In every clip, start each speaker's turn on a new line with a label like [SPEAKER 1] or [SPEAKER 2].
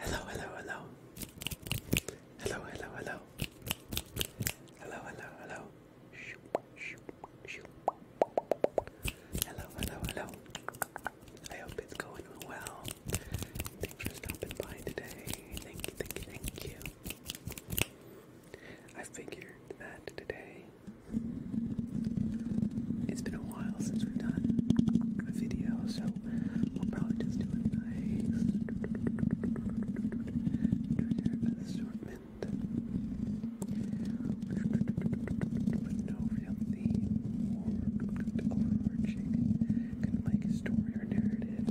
[SPEAKER 1] Hello, hello, hello. Hello, hello, hello. Hello, hello, hello. Hello, I hope it's going well. Thanks for stopping by today. Thank you, thank you, thank you. I figured that today. It's been a while while since we've done a video, so we'll probably just do a nice generic assortment no real theme or overarching kind of like story or narrative.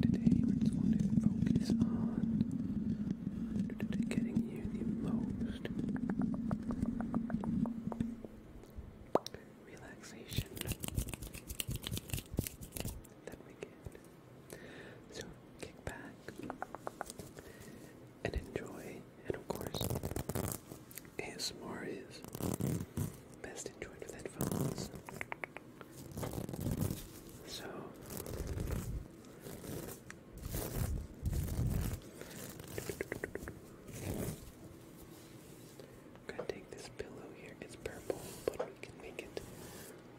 [SPEAKER 1] Today we're just going to focus on getting you the most relaxation that we get. So kick back and enjoy, and of course, ASMR is best enjoyed with headphones. So I'm gonna take this pillow here. It's purple, but we can make it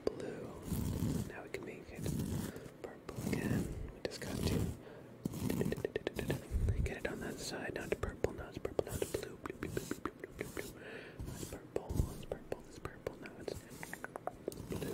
[SPEAKER 1] blue. Now we can make it purple again. We just got to get it on that side. Now it's purple. Now it's purple. Now it's blue. it's purple. It's purple. It's purple. Now it's blue.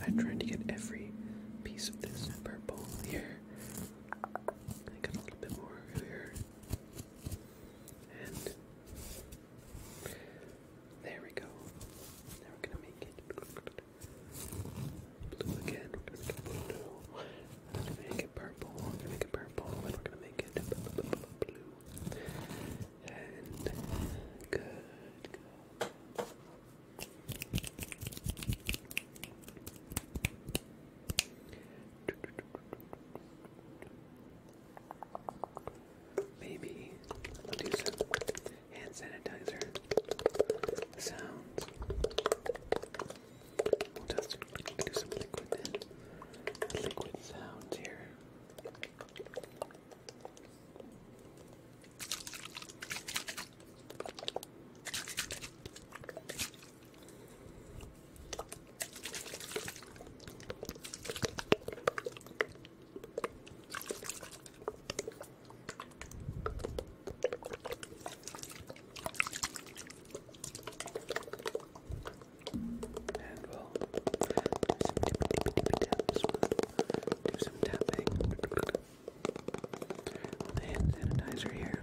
[SPEAKER 1] I am trying to get every piece of this purple here. I got a little bit more here. There we go. we're gonna make it blue again. We're gonna make it blue. we're gonna make it purple. We're gonna make it purple. we're gonna make it blue. And good. Maybe I'll do some hand sanitizer sounds. just do some liquid Liquid sounds here. And we'll do some tapping on the hand sanitizer here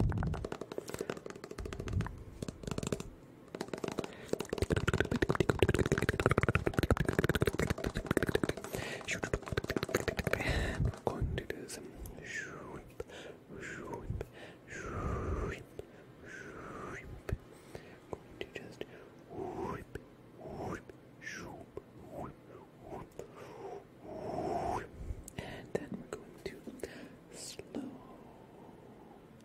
[SPEAKER 1] going to do some shrimp, shrimp, shrimp, shrimp. Going to just whip, whip, whip, whip, whip. And then we're going to slow.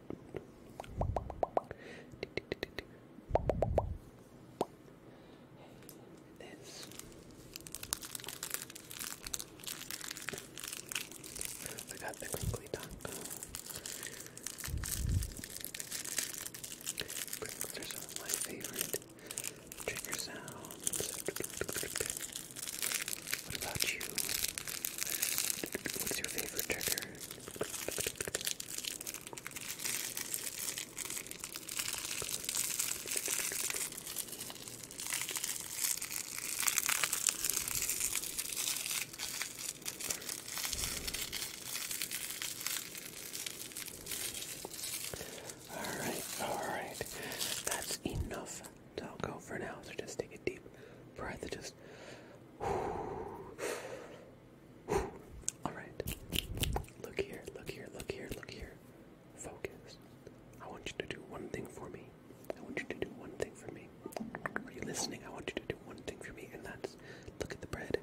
[SPEAKER 1] This I got the crinkly taco. Crinkles are some of my favorite trigger sounds. What about you? What's your favorite trigger? All right, all right. That's enough so i go for an So just take a deep breath. just. Alright. Look here, look here, look here, look here. Focus. I want you to do one thing for me. I want you to do one thing for me. Are you listening? I want you to do one thing for me, and that's look at the bread.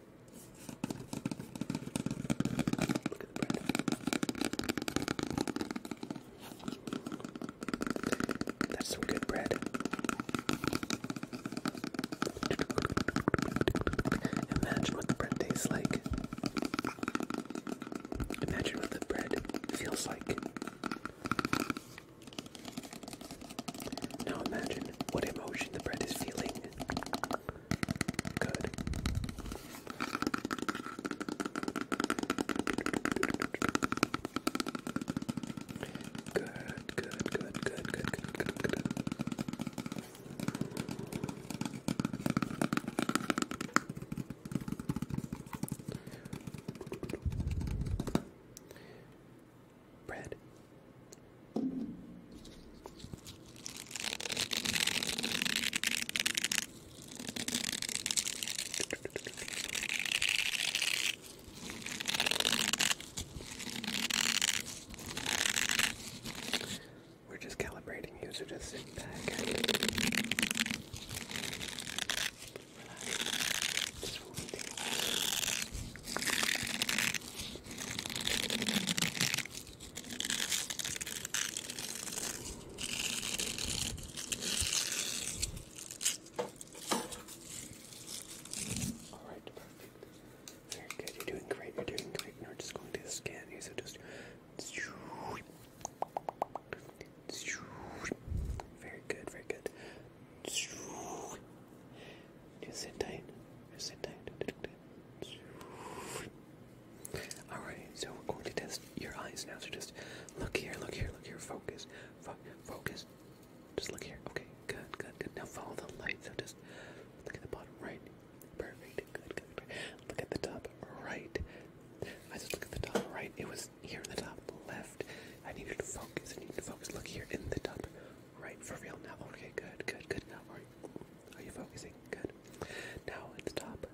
[SPEAKER 1] Look at the bread. That's some good bread. Imagine what the bread tastes like. Imagine what the bread feels like. Now imagine what emotion the bread is feeling. Good. Good, good, good, good, good, good, good, good, good. Bread. We're just calibrating you, so just sit back and relax. Just Good. Alright, perfect. Very good. You're doing great. You're doing great. we're just going to scan you. So just. Very good. Very good. Just sit tight. Just sit tight. Alright, so we're going to test your eyes now. So just look here, look here, look here. Focus focus. Just look here. Okay, good, good, good. Now follow the light. So just look at the bottom right. Perfect. Good, good, Look at the top right. I just look at the top right. It was here in the top left. I need to focus. I need to focus. Look here in the top right. For real now. Okay, good, good, good. Now are you, focusing? Good. Now at the top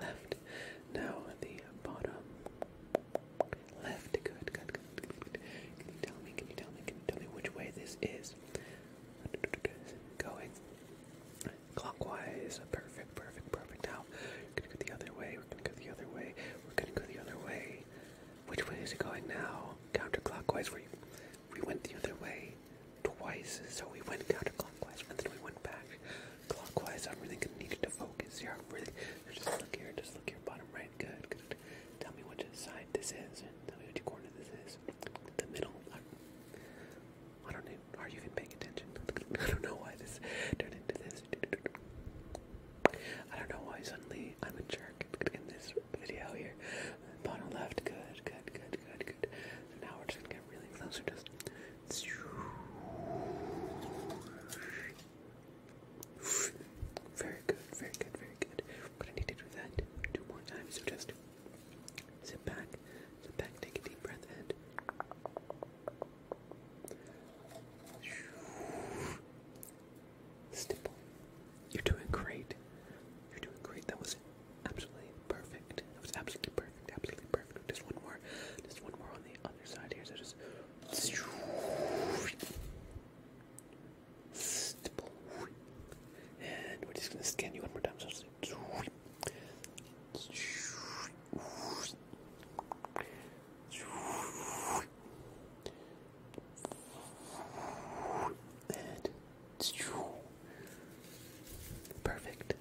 [SPEAKER 1] left. Now the bottom left. good, good, good. Can you tell me? Can you tell me? Can you tell me which way this is going? Clockwise. Perfect, perfect, perfect. Now we're gonna go the other way. We're gonna go the other way. We're gonna go the other way. Which way is it going now? Counterclockwise. We we went the other way twice, so we went counterclockwise and then we went back clockwise. I'm really gonna need you to focus here. I'm really just look here, just look here, bottom right. Good, good. Tell me which side this is. And Tell me which corner this is. The middle. I don't know. Are you even paying attention? I don't know why this turned into this. I don't know why suddenly I'm a jerk in this video here. Bottom left. Good, good, good, good, good. now we're just gonna get really close. we just very good, very good, very good. But I need to do that two more times, just sit back, sit back, take a deep breath in. Stipple. You're doing great. You're doing great. That was absolutely perfect. That was absolutely perfect. Absolutely perfect. Just one more. Just one more on the other side And we're just gonna scan you one more time. perfect.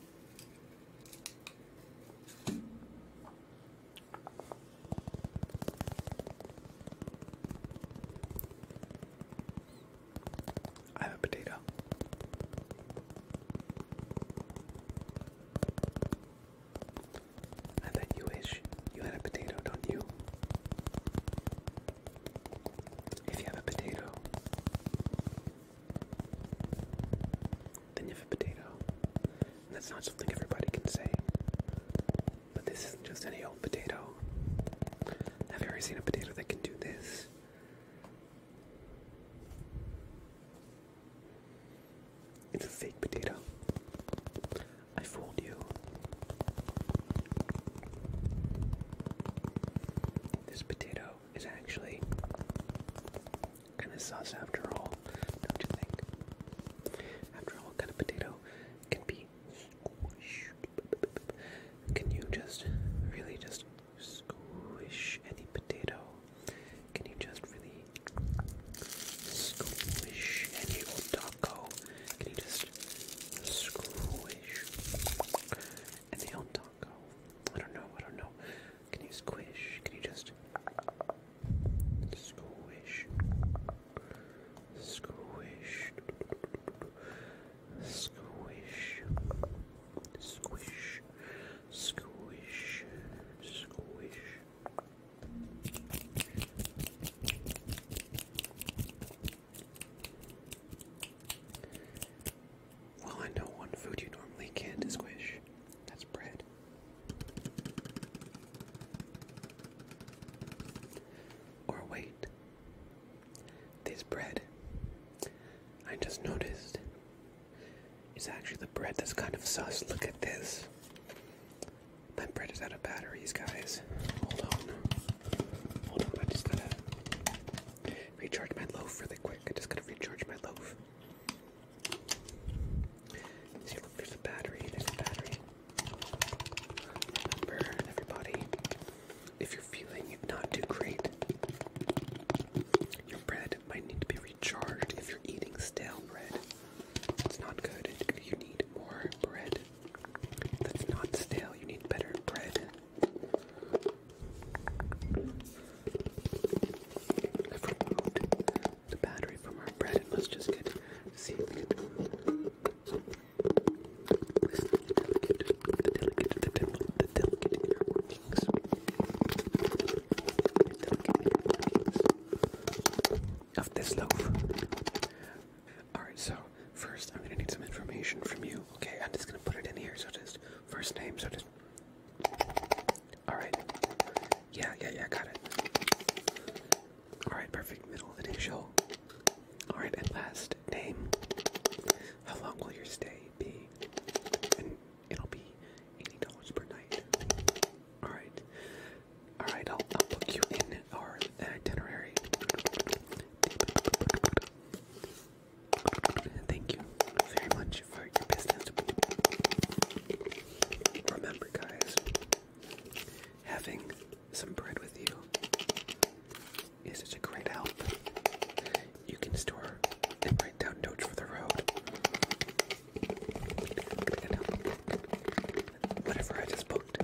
[SPEAKER 1] I have a potato. I bet you wish you had a potato, don't you? If you have a potato, then you have a potato. And that's not something everybody can say. But this isn't just any old potato. Have you ever seen a potato that can do this. It's a fake potato. I fooled you. This potato is actually kind of sauce after all, don't you think? After all, kind of potato can be Can you just really just squish any potato? Can you just really squish any old taco? Can you just squish any old taco? I don't know, I don't know. Can you squish? Can you just squish? Squish. Squish. Squish. Squish. Squish. Well, I know one food you normally can't squish. That's bread. Or wait. This bread, I just noticed, is actually the bread that's kind of sus. Look at this. My bread is out of batteries, guys. Hold on. Hold on, I just gotta recharge my loaf really quick. I just gotta recharge my loaf. See, there's a battery, there's a battery. Remember, everybody, if you're feeling not too great, your bread might need to be recharged if you're eating stale bread. It's not good. You need more bread that's not stale. You need better bread i the battery from our bread and let just get see the delicate, the delicate, the delicate, the delicate inner workings. The of this loaf. Alright, so first I'm gonna need some information from you. Okay, I'm just gonna put it in here, so just first name, so just all right. Yeah, yeah, yeah. Got it. All right. Perfect. Middle initial. All right. And last name. How long will your stay be? And it'll be eighty dollars per night. All right. All right. I'll, you in our itinerary. Thank you very much for your business. Remember, guys, having some bread with you is such a great help. You can store and write down notes for the road. Whatever I just booked.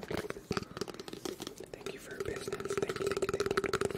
[SPEAKER 1] Thank you for your business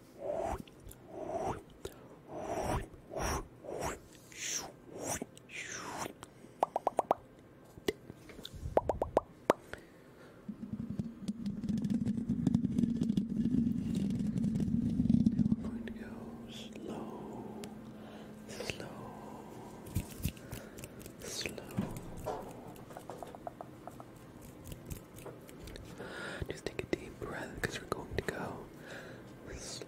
[SPEAKER 1] Now we're going to go slow, slow, slow. Just take a deep breath because we're going to go slow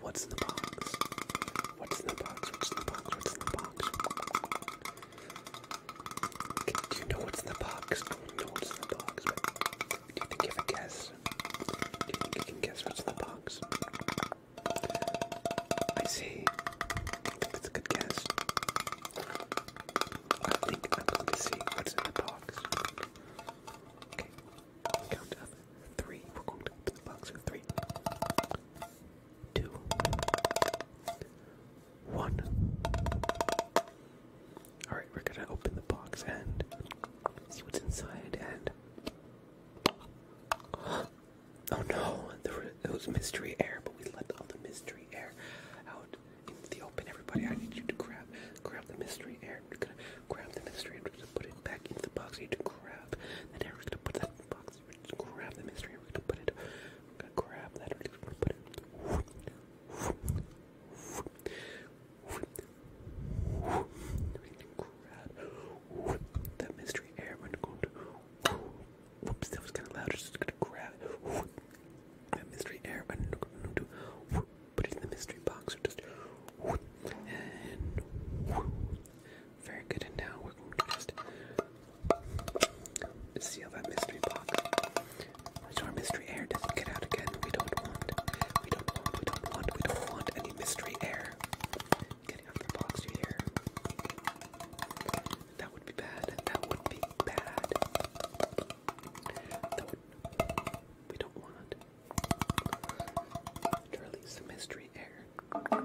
[SPEAKER 1] What's in the box? What's in the box? What's in the box? What's in the box? Do you know what's in the box? do you think you have a guess? Do you guess what's in the box? I see. that's a good guess. I think I'm going to see what's in the box. Okay, count up. Three. We're going to open the box in three, two, one. Alright, we're gonna open the box and see what's inside and. Oh no, there was mystery air, but we let all the mystery air out into the open. Everybody, I need you to grab, grab the mystery air. We're gonna grab the mystery and put it back into the box. You need to grab that air. We're gonna put that box. We're just grab the mystery. We're gonna put it. grab that. We're gonna put it. that mystery air. We're going to. Whoops, that was kind of loud. We're just gonna grab that mystery air. We're going to put it in the mystery box. Or just very good, and now we're going to just seal that mystery box. So our mystery air doesn't get out again. We don't want, we don't want, we don't want, we don't want any mystery air getting out of the box, you hear? That would be bad, that would be bad. That would, we don't want to release the mystery air.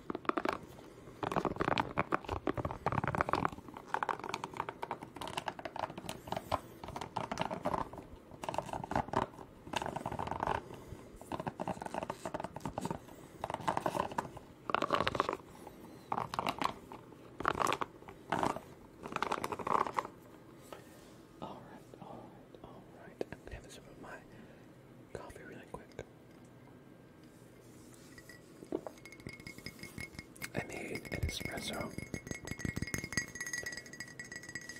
[SPEAKER 1] All right, all right, all right. I'm gonna have to sip of my coffee really quick. I made an espresso.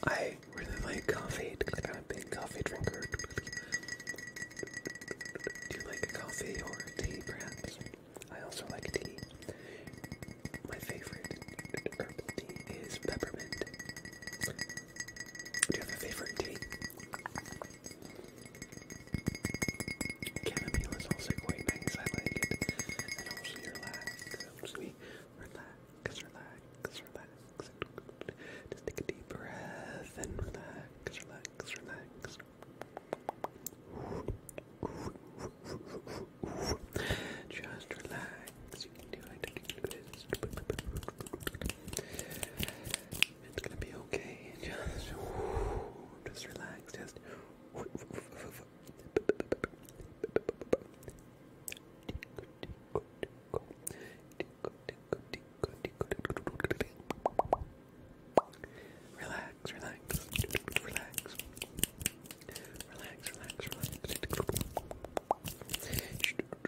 [SPEAKER 1] I really like coffee I'm a coffee drinker. Do you like coffee or tea, perhaps? I also like tea. My favorite tea is peppermint. Do you have a favorite tea? Chamomile is also quite nice. I like it. It helps relax. It relax, relax, relax. Just take a deep breath and relax, relax, relax. Just relax. It's gonna be okay. Just, just relax. Just. Relax, relax, relax, relax, relax, relax.